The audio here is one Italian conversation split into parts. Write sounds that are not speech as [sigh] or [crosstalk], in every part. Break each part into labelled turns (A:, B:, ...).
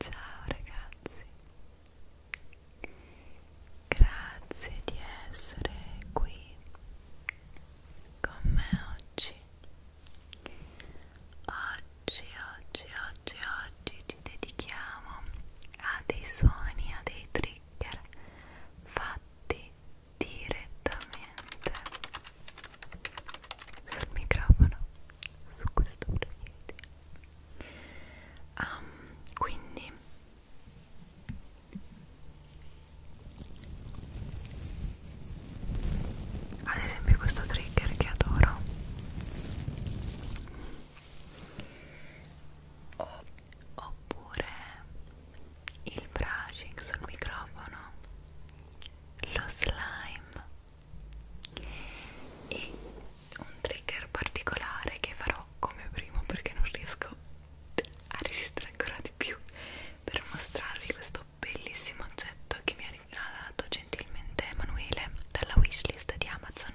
A: Ciao ragazzi, grazie di essere qui con me oggi. Oggi, oggi, oggi, oggi ci dedichiamo a dei suoni, a dei trigger fatti direttamente sul microfono su questo proiettile um, quindi ad esempio questo trigger che adoro oppure il brushing sul microfono lo slime e un trigger particolare che farò come primo perché non riesco a resistere ancora di più per mostrarvi questo bellissimo oggetto che mi ha regalato gentilmente Emanuele dalla wishlist di Amazon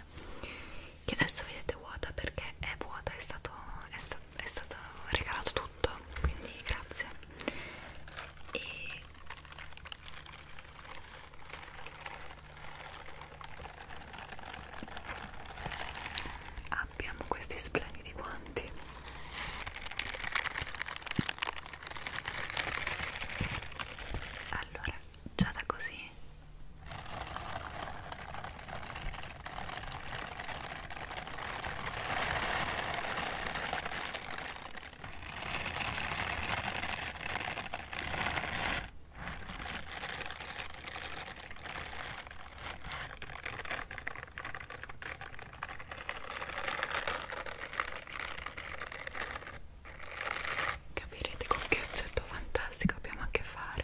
A: che adesso vedete vuota perché è vuota, è stato, è sta, è stato regalato tutto quindi grazie e Abbiamo questi splendidi guanti. Allora, già da così Capirete con che oggetto fantastico abbiamo a che fare.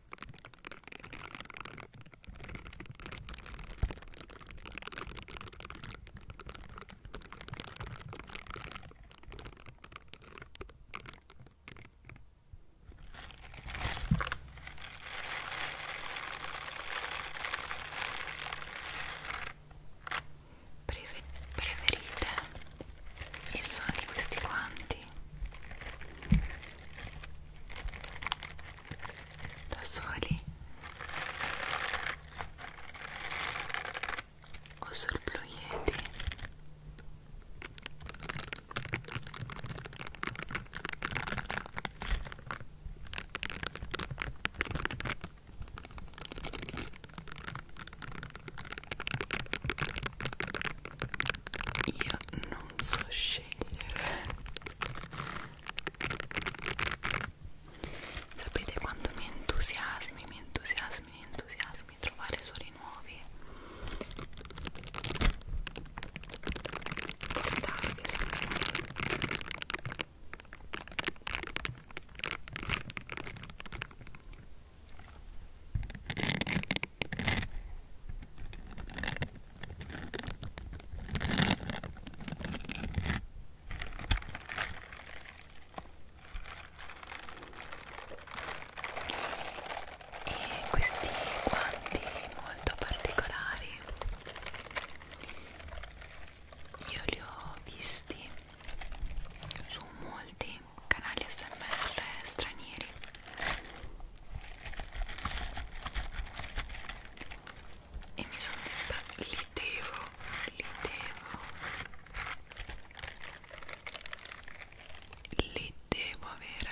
A: Prefe preferite il suono di questi guanti da soli o sul blu yeti io non so scegliere scegliere sapete quanto mi entusiasmi mi entusiasmi mi entusiasmi trovare suoni nuovi dai che sono e questi guanti molto particolari io li ho visti su molti canali smr stranieri e mi sono detta li devo, li devo li devo avere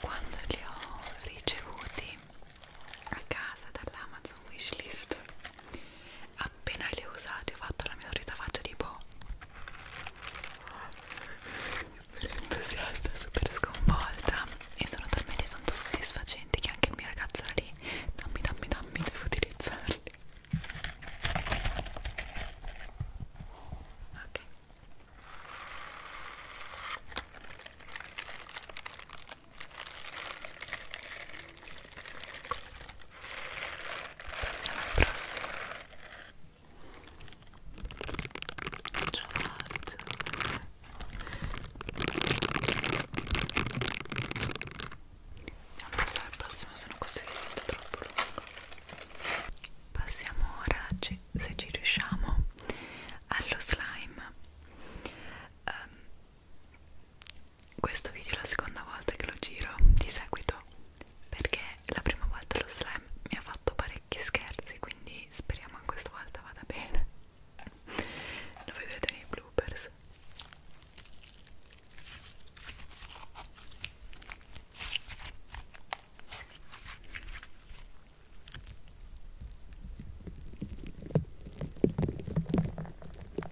A: Quando li ho ricevuti a casa dall'Amazon Wishlist appena le ho usate ho fatto la mia solita faccia tipo super entusiasta, super sconvolta e sono talmente tanto soddisfacenti che anche il mio ragazzo era lì dammi dammi dammi devo utilizzarli ok Passiamo al prossimo. Giorgio. Andiamo a passare al prossimo, se no questo è diventato troppo lungo. Passiamo ora, se ci riusciamo, allo slime. Um, questo video è la seconda volta che lo giro di seguito perché la prima volta lo slime mi ha fatto parecchi scherzi quindi speriamo che questa volta vada bene lo vedrete nei bloopers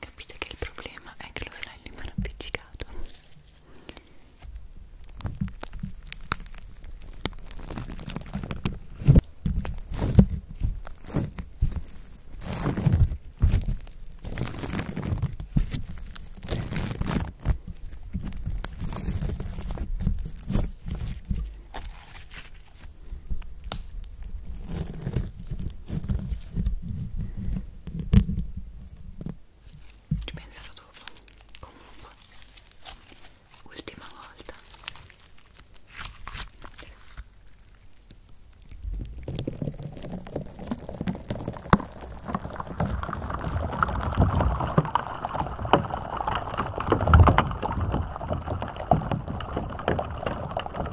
A: Capite che il problema è che lo slime è appiccicato. Ci penserò dopo. Comunque, ultima volta. Io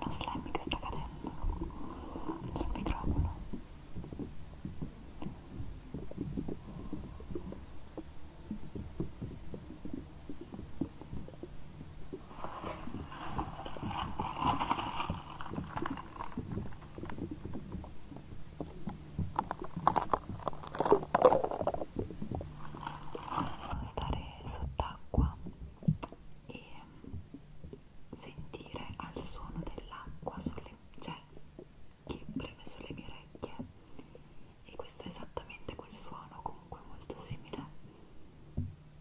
A: uno slime che sta cadendo sul microfono stare sott'acqua e sentire al suono dell'acqua sulle cioè, che preme sulle mie orecchie e questo è esattamente quel suono comunque molto simile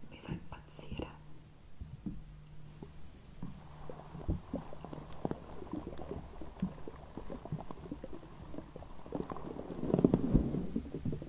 A: mi fa impazzire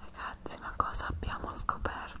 A: Ragazzi, ma cosa abbiamo scoperto?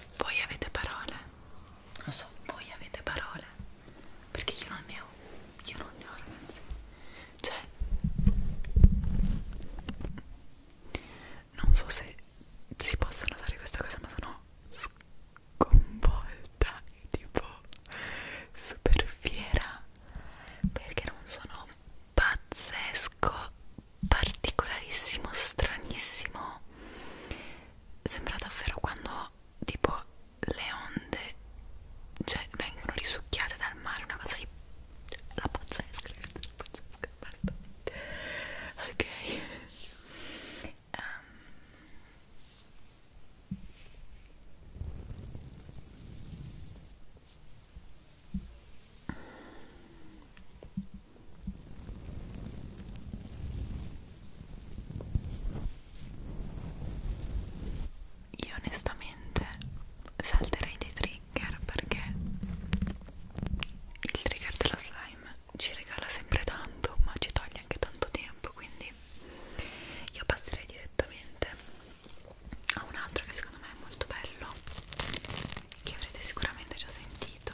A: Voi avete parole? Lo so, voi avete parole. Perché io non ne ho. Io non ne ho, ragazzi. Cioè, non so se si possono usare questa cosa, ma sono sconvolta e tipo super fiera perché non sono pazzesco particolarissimo, stranissimo. Sembra davvero quando tipo le onde cioè, vengono risucchiate dal mare, una cosa di la pazzesca, ragazzi, la pazzesca, guarda. Ok. Um. Io onestamente salterei dei trigger perché il trigger dello slime ci regala sempre tanto ma ci toglie anche tanto tempo quindi io passerei direttamente a un altro che secondo me è molto bello che avrete sicuramente già sentito preferito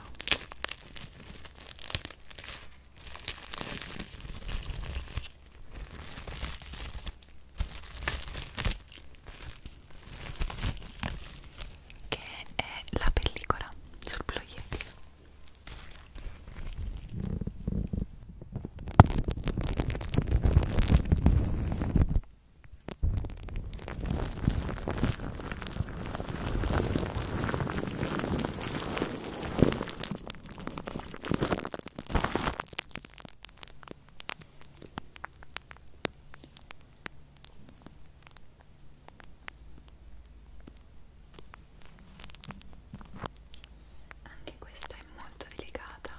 A: che è la pellicola sul Blue Yeti anche questa è molto delicata.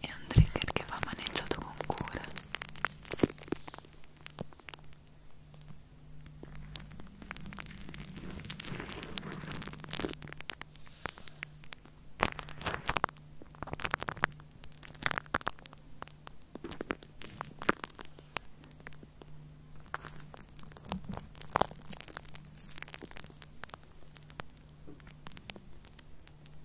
A: è un trigger che va maneggiato con cura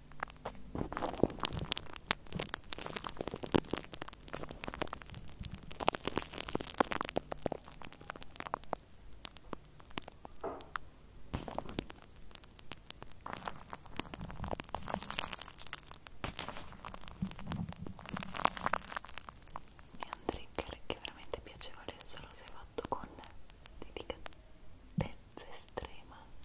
A: È un trigger che è veramente piacevole solo se fatto con delicatezza estrema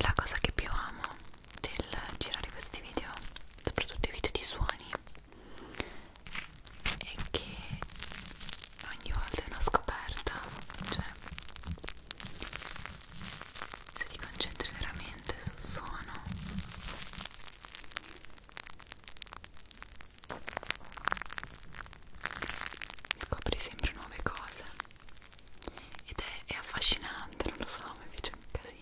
A: La cosa che più amo del girare questi video, soprattutto i video di suoni, è che ogni volta è una scoperta, cioè se ti concentri veramente sul suono scopri sempre nuove cose ed è, è affascinante, non lo so, mi piace un casino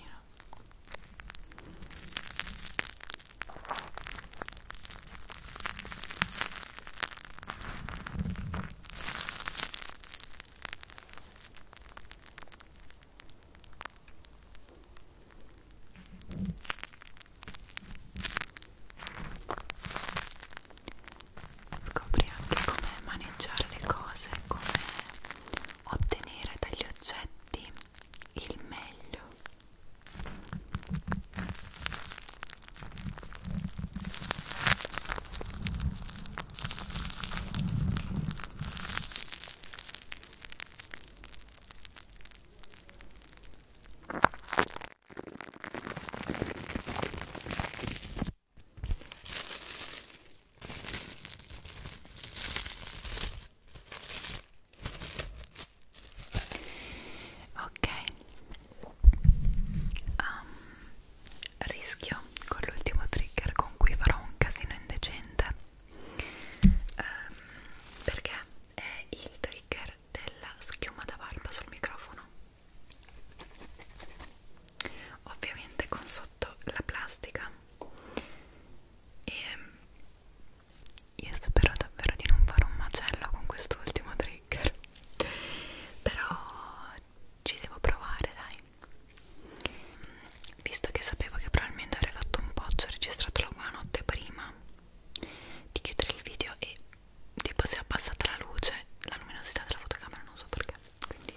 A: Scopri anche come maneggiare le cose, come ottenere dagli oggetti il meglio. Ok, um, rischio con l'ultimo trigger con cui farò un casino indecente um, perché è il trigger della schiuma da barba sul microfono ovviamente con sotto la plastica e ehm, io spero davvero di non fare un macello con quest'ultimo trigger [laughs] però ci devo provare dai visto che sapevo che probabilmente avrei fatto un po' ho registrato la buonanotte prima di chiudere il video e tipo si è abbassata la luce, la luminosità della fotocamera, non so perché. Quindi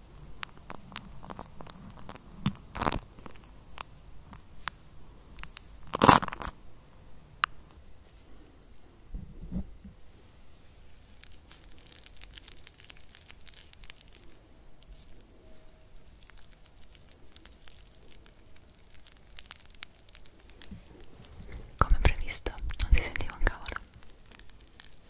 A: Come previsto, non si sentiva un cavolo.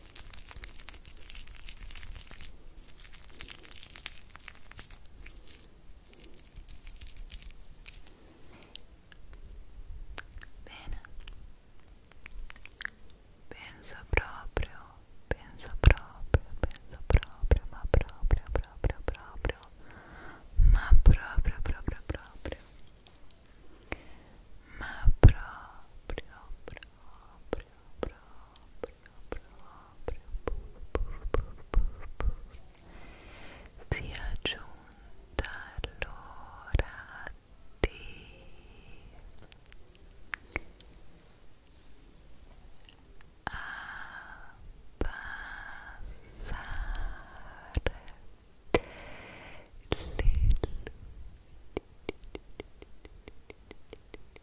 A: Bene, penso proprio, penso proprio, penso proprio, ma proprio, proprio, proprio, ma proprio, proprio, proprio, ma proprio, proprio, proprio proprio sia giunta l'ora di abbassare le luci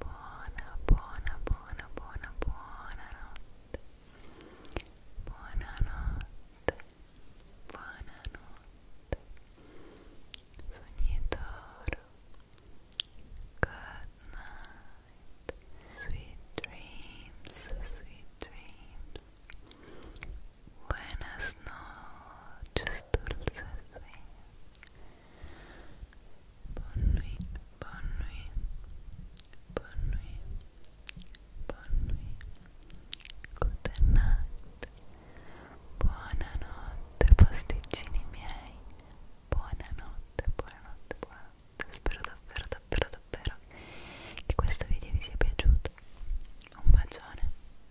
A: Buona, buona, buona, buona, buonanotte. Buonanotte. Buonanotte. Sognitoro. Good night. Sweet dreams, sweet dreams. Buenas noches, dulces Bonne nuit, bonne nuit, bonne nuit, bonne nuit. Good night. Buonanotte, pasticcini miei. Buonanotte, buonanotte, buonanotte. Spero davvero, davvero, davvero che questo video vi sia piaciuto. Un bacione.